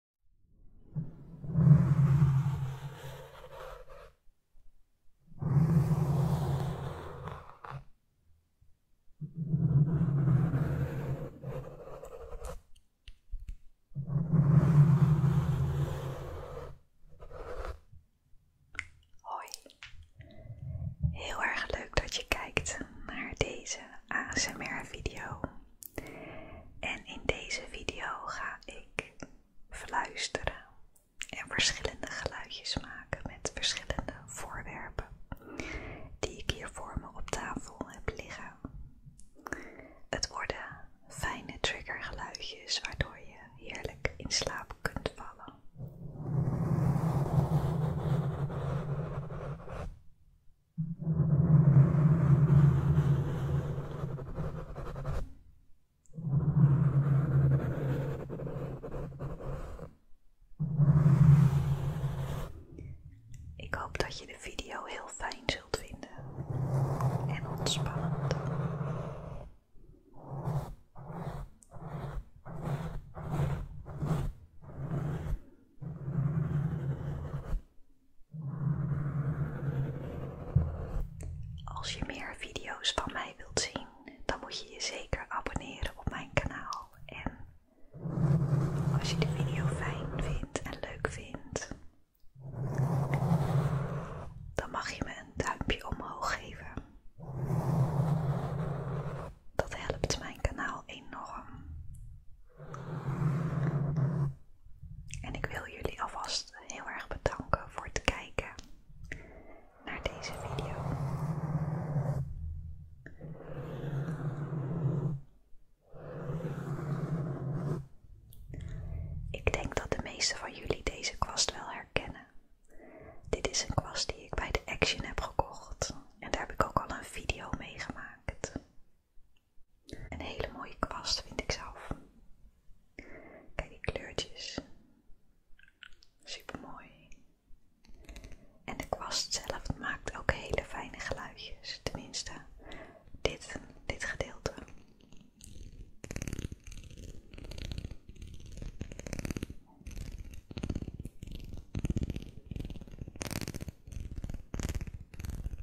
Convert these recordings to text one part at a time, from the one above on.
Hoi, heel erg leuk dat je kijkt naar deze ASMR-video. En in deze video ga ik fluisteren en verschillende geluidjes maken met verschillende voorwerpen die ik hier voor me op tafel heb liggen. Het worden fijne geluidjes waardoor je heerlijk in slaap kunt vallen. Ik hoop dat je de video heel fijn zult vinden en ontspant. Als je meer video's van mij wilt zien, dan moet je je zeker abonneren op mijn kanaal. En als je de video fijn vindt en leuk vindt, dan mag je me een duimpje omhoog geven. Dat helpt mijn kanaal enorm. En ik wil jullie alvast heel erg bedanken voor het kijken naar deze video. Ik denk dat de meeste van jullie deze kwast wel herkennen. Dit is een kwast die ik bij de Action heb gekocht en daar heb ik ook al een video mee gemaakt. Een hele mooie kwast vind ik zelf. Kijk die kleurtjes. Super mooi. En de kwast zelf maakt ook hele fijne geluidjes. Tenminste, dit, dit gedeelte.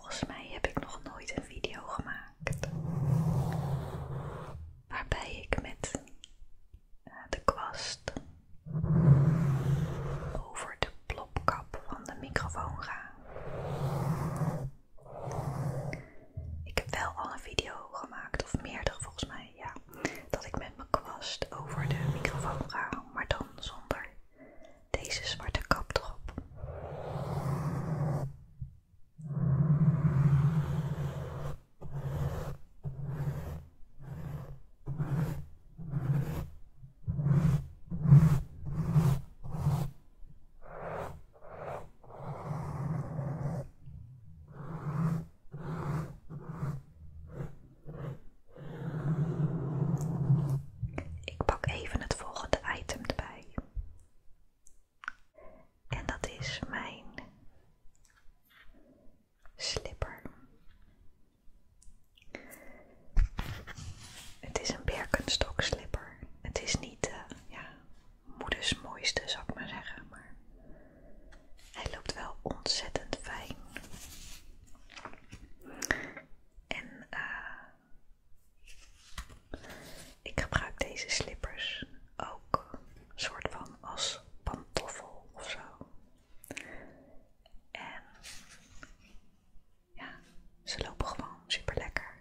volgens mij heb ik nog nooit een video gemaakt waarbij ik met eh, de kwast over de plopkap van de microfoon ga. Ik heb wel al een video gemaakt, of meerdere volgens mij, ja, dat ik met mijn kwast over de microfoon ga, maar dan zonder deze zwarte kap erop. Ik pak even het volgende item erbij. En dat is mijn slipper. Het is een Birkenstock slipper. Het is niet de eh, moeders mooiste, zou ik maar zeggen. Maar hij loopt wel ontzettend fijn. En eh. Ik gebruik deze slippers ook soort van als pantoffel of zo. En ja, ze lopen gewoon super lekker.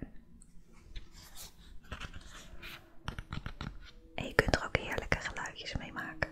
En je kunt er ook heerlijke geluidjes mee maken.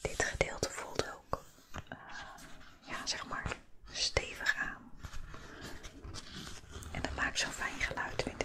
Dit gedeelte voelt ook eh, ja, zeg maar stevig aan. En dat maakt zo'n fijn geluid, vind ik.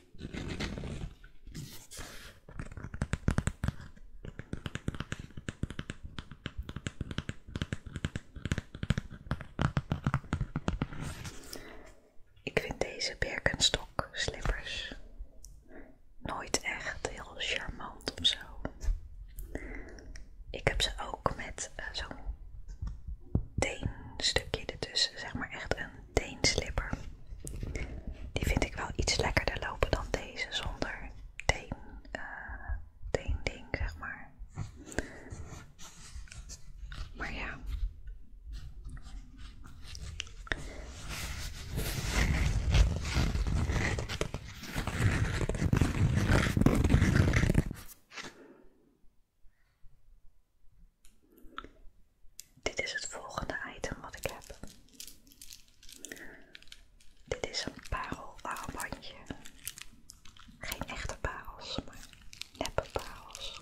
Ik vind deze Birkenstock slippers nooit echt heel charmant of zo. Ik heb ze ook met eh, zo'n stukje ertussen, zeg maar echt een slipper Die vind ik wel iets lekkerder lopen dan deze zonder teen, uh, ding zeg maar. Maar ja. Dit is het volgende item wat ik heb. Dit is een parel-armbandje. Geen echte parels, maar nepparels.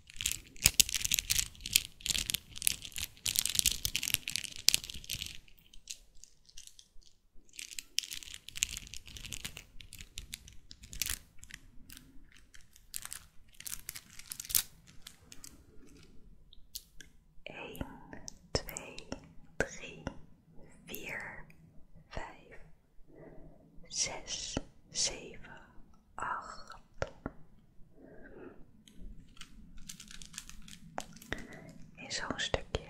1, 2, 3, 4, 5, zes, zeven, acht. In zo'n stukje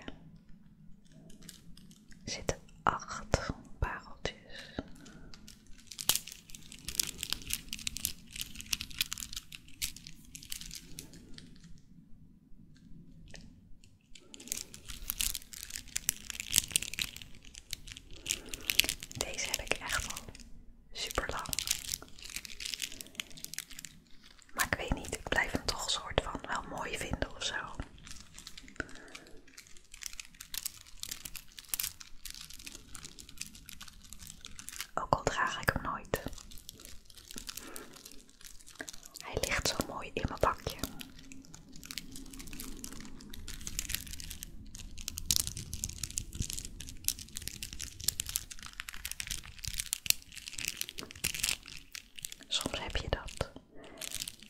zitten acht pareltjes. Deze heb ik echt al super lang. Maar ik weet niet, ik blijf hem toch een soort van wel mooi vinden of zo. Ook al draag ik hem nooit. Hij ligt zo mooi in mijn bakje. Soms heb je dat.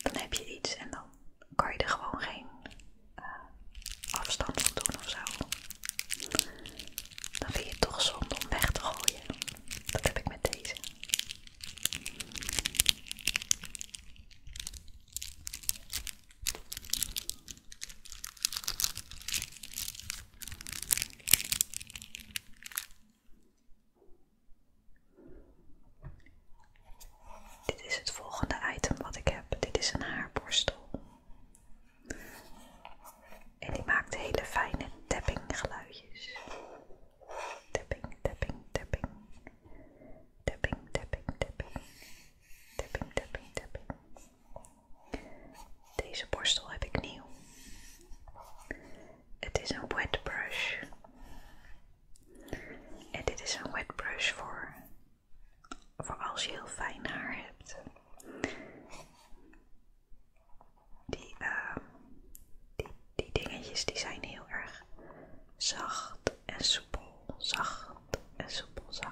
Dan heb je iets en dan kan je er gewoon geen eh, afstand van doen of zo. Dan vind je het toch zonde om weg te gooien. Dat heb ik met deze. Dit is het volgende item wat ik heb. Dit is een haarborstel. En die maakt hele fijne tapping geluidjes. Tapping, tapping, tapping tapping, tapping, tapping, tapping, tapping, tapping. Deze borstel heb ik nieuw. Het is een wet brush. En dit is een wet brush voor, voor als je heel fijn haar hebt. Die, ehm, die, die dingetjes die zijn heel erg zacht en soepel, zacht en soepel, zacht.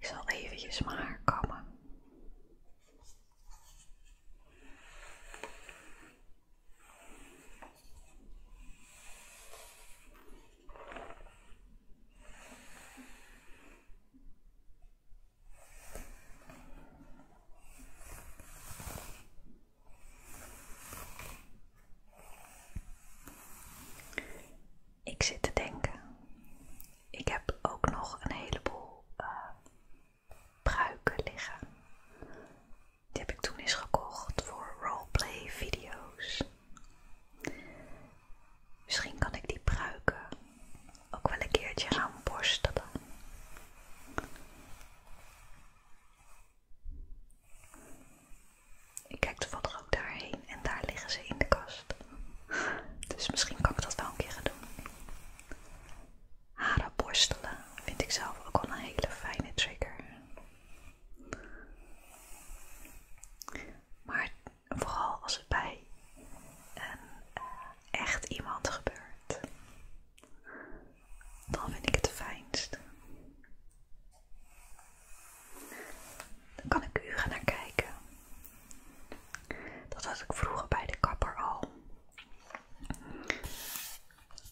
Ik zal eventjes maar komen. Ik zit te denken. Ik heb ook nog een heleboel eh, pruiken liggen. Die heb ik toen eens gekocht voor roleplay video's. Misschien kan ik die pruiken ook wel een keertje gaan borstelen. Ik kijk toevallig ook daarheen en daar liggen ze in de kast. Dus misschien kan ik dat wel een keer gaan doen. Haren borstelen vind ik zelf ook wel een hele fijne trigger. Maar vooral als het bij een eh, echt iemand gebeurt, dan vind ik het fijnst. Dan kan ik u gaan naar kijken. Dat had ik vroeger bij de kapper al.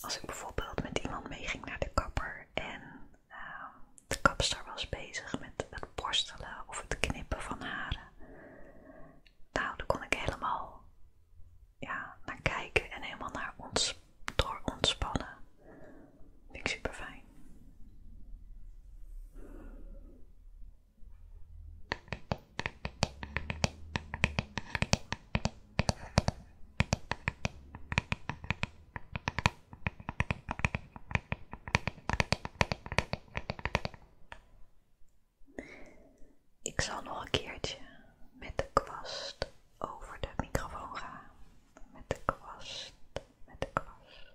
Als ik bijvoorbeeld met iemand meeging naar de kapper en nou, de kapster was bezig met het borstelen of het knippen van haren. Nou, daar kon ik helemaal ja, naar kijken en helemaal naar ons, door ontspannen. Vind ik super fijn. Ik zal nog een keertje met de kwast over de microfoon gaan. Met de kwast, met de kwast.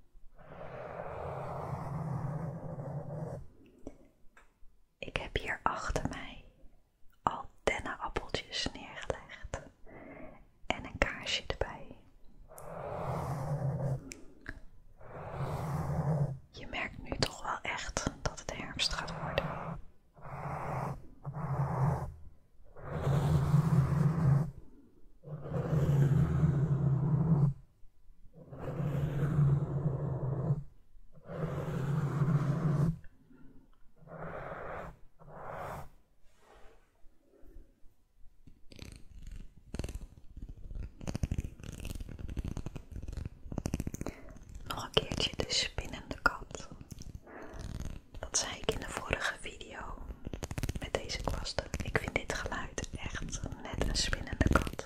Ik heb hier achter mij al dennenappeltjes neergelegd en een kaarsje erbij. Je merkt nu toch wel echt dat het herfst gaat worden. Nog een keertje de spinnende kat. Dat zei ik in de vorige video met deze kwast. Ik vind dit geluid echt net een spinnende kat.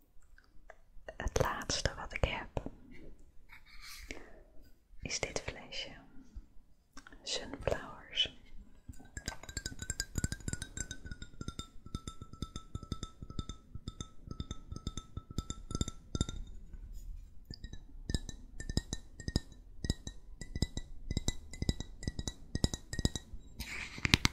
het laatste wat ik heb is dit flesje. Sunflowers.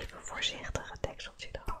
Even voorzichtig het dekseltje eraf.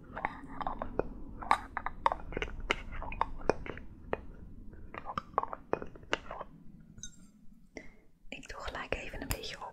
Ik doe gelijk even een beetje op.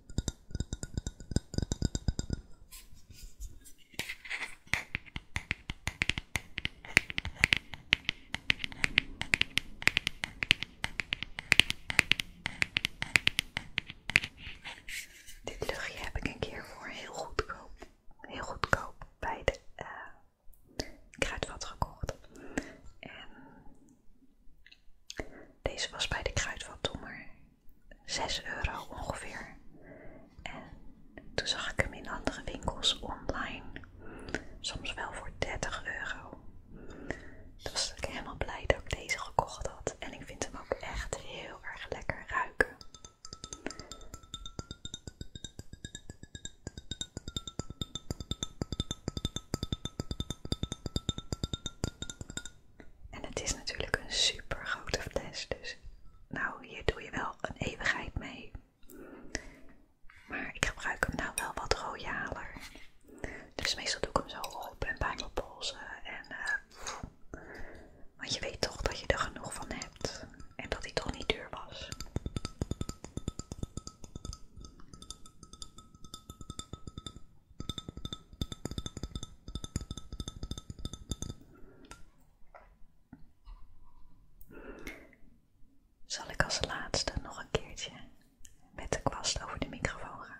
Dit luchtje heb ik een keer voor heel goedkoop, heel goedkoop bij de eh, kruidvat gekocht. En deze was bij de kruidvat toen maar 6 euro ongeveer. En toen zag ik hem in andere winkels online. Soms wel voor 30 euro. Dus was ik helemaal blij dat ik deze gekocht had. En ik vind hem ook echt heel erg lekker ruiken. En het is natuurlijk een super grote fles, dus nou, hier doe je wel een eeuwigheid mee. Maar ik gebruik hem nou wel wat royaler. Dus meestal doe ik hem zo op en bij mijn polsen. En, eh, want je weet toch dat je er genoeg van hebt. En dat hij toch niet duur was. Zal ik als laatste nog een keertje met de kwast over de microfoon gaan?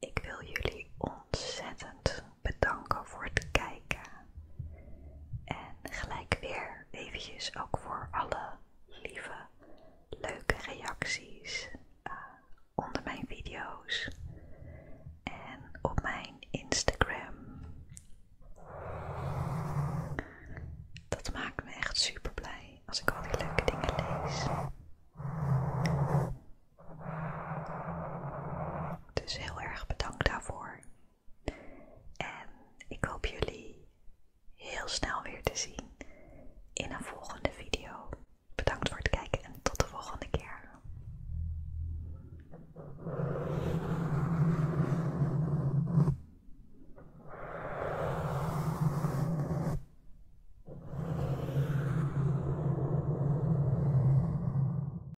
Ik wil jullie ontzettend bedanken voor het kijken. En gelijk weer eventjes ook voor alle lieve, leuke reacties eh, onder mijn video's en op mijn Instagram. Dat maakt me echt super blij als ik al die leuke dingen lees. Dus heel erg bedankt daarvoor. En ik hoop jullie heel snel weer te zien in een volgende video. Bedankt voor het kijken en tot de volgende keer.